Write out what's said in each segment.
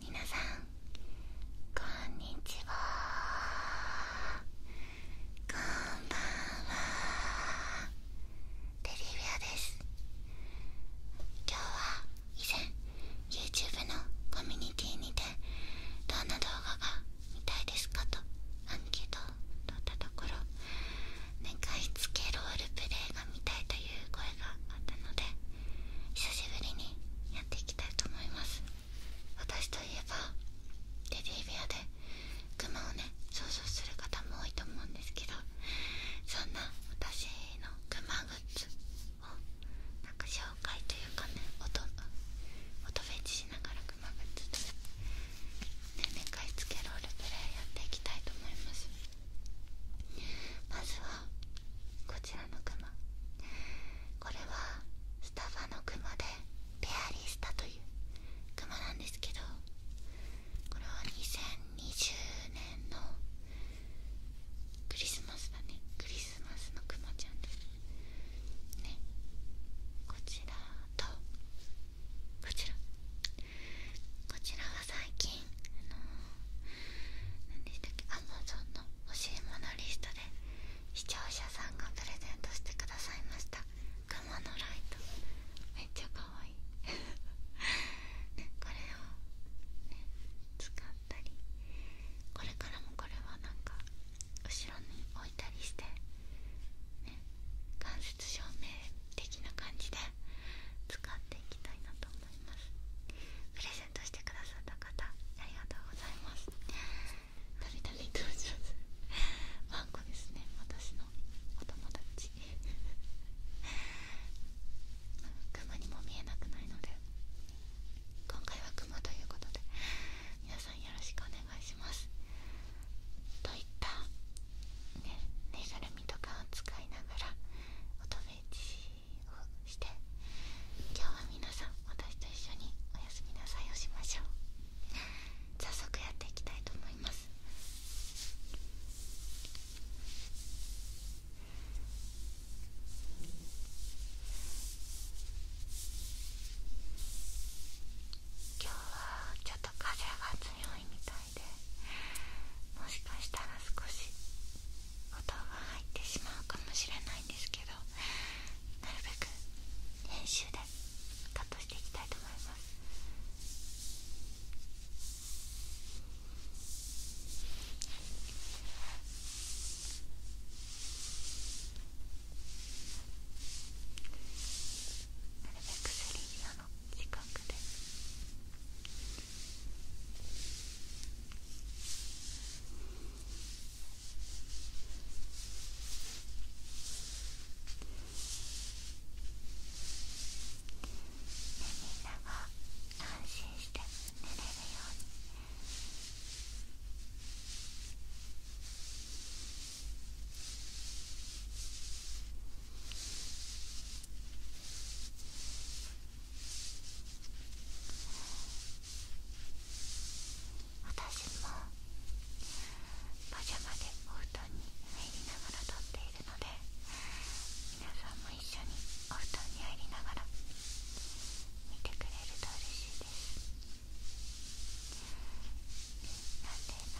皆さんこんにちはこんばんはテリビアです今日は以前 YouTube のコミュニティにてどんな動画が見たいですかとアンケートを取ったところ「寝かしつけロールプレイが見たい」という声があったので久しぶりにやっていきたいと思います私といえばレディーベアでクマをね想像する方も多いと思うんですけどそんな私のクマグッズをな紹介というかね音音フェチしながらクマグッズとね、ね、寝かしつけロールプレイやっていきたいと思いますまずはこちらのクマこれはスタバのクマでペアリスタというクマなんですけどこれは2020年のクリスマスだねクリスマスのクマちゃんですねこちらとこちらこちらは最近あのー、何でしたっけ Amazon の欲しいものリストで視聴者さんがプレゼントしてくださいました雲のライトめっちゃ可愛いねこれを使ったりこれからもこれはなんか後ろに置いたりしてね関節実証明的な感じで使っていきたいなと思いますプレゼントしてくださった方ありがとうございますたびたび登場するワンですね私のお友達雲にも見えなくないので今回は雲ということで皆さんよろしくお願いしますといったねぬいぐるみとかを使いながら音フェチをして今日は皆さん私と一緒におやすみなさいをしましょう早速やっていきたいと思います今日はちょっと風が強いみたいもしかしたら少し音が入ってしまうかもしれないんですけどなるべく編集でカットしていきたいと思います近くでみんなが安心して寝れるように。私もパジャマでお布団に入りながら撮っているので皆さんも一緒にお布団に入りながら見てくれると嬉しいです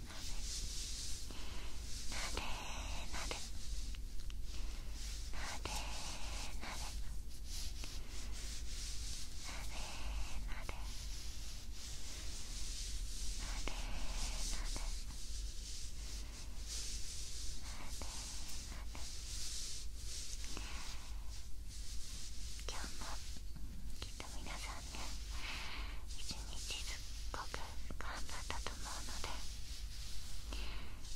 今日もきっと皆さんね一日すっごく頑張ったと思うので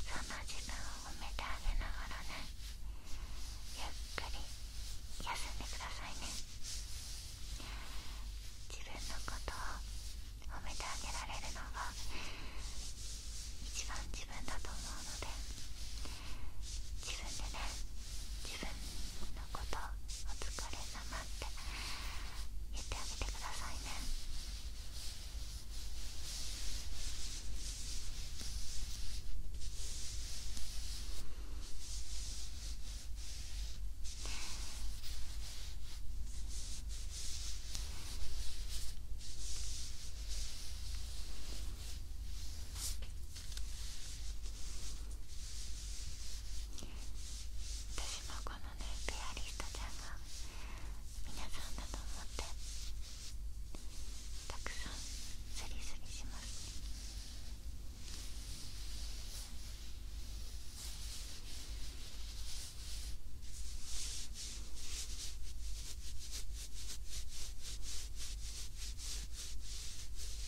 その時間を褒めてあげながらねゆっくり休んでくださいね自分のことを褒めてあげられるのが一番自分だと思うので自分でね自分のことお疲れ様って言ってあげてくださいね私このねピアリストちゃんが皆さんだと思ってたくさんスリスリします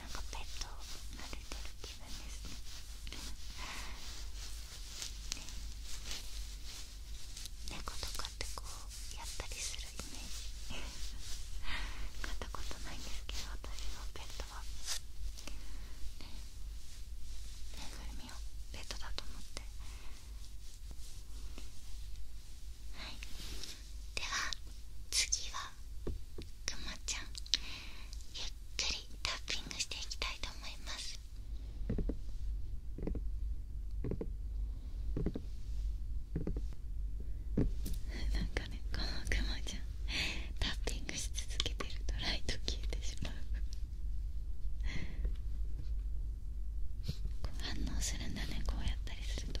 なんかペットを撫でてる気分ですね猫とかってこうやったりするイメージ買ったことないんですけど私のペットはねぬいぐるみをペットだと思ってはいでは次はくまちゃんゆっくりタッピングしていきたいと思います なんかねこのクマちゃんタッピングし続けてるとライト消えてしまうう反応するんだねこうやったりすると。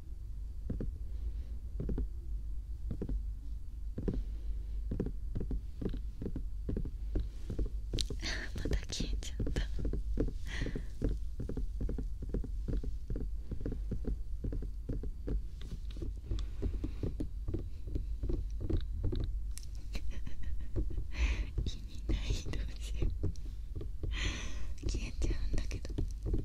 また消えちゃった意味ないどうしよ消えちゃうんだけど。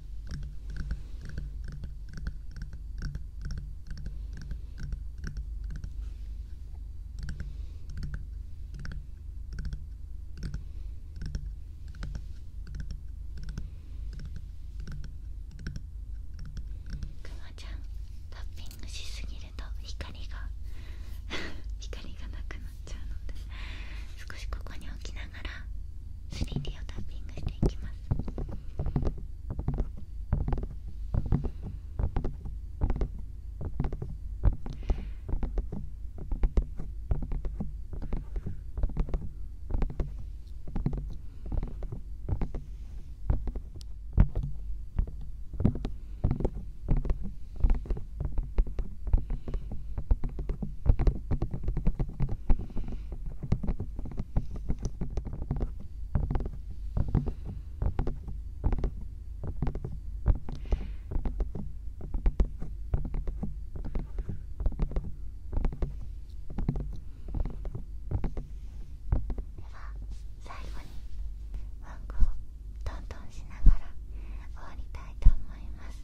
クマちゃんタッピングしすぎると光が 光がなくなっちゃうので少しここに置きなながら 3D をタッピングしていきます。では、最後にワンコをトントンしながら終わりたいと思います。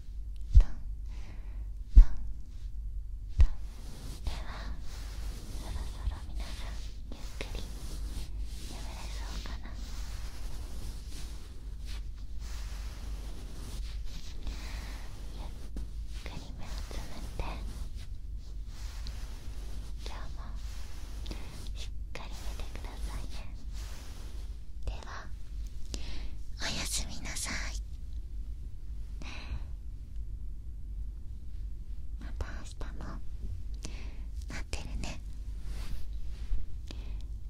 タンタンタンではそろそろ皆さんゆっくり眠れそうかなゆっくり目をつむって今日もしっかり寝てくださいね。ではおやすみなさいまた明日も待ってるね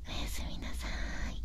おやすみなさい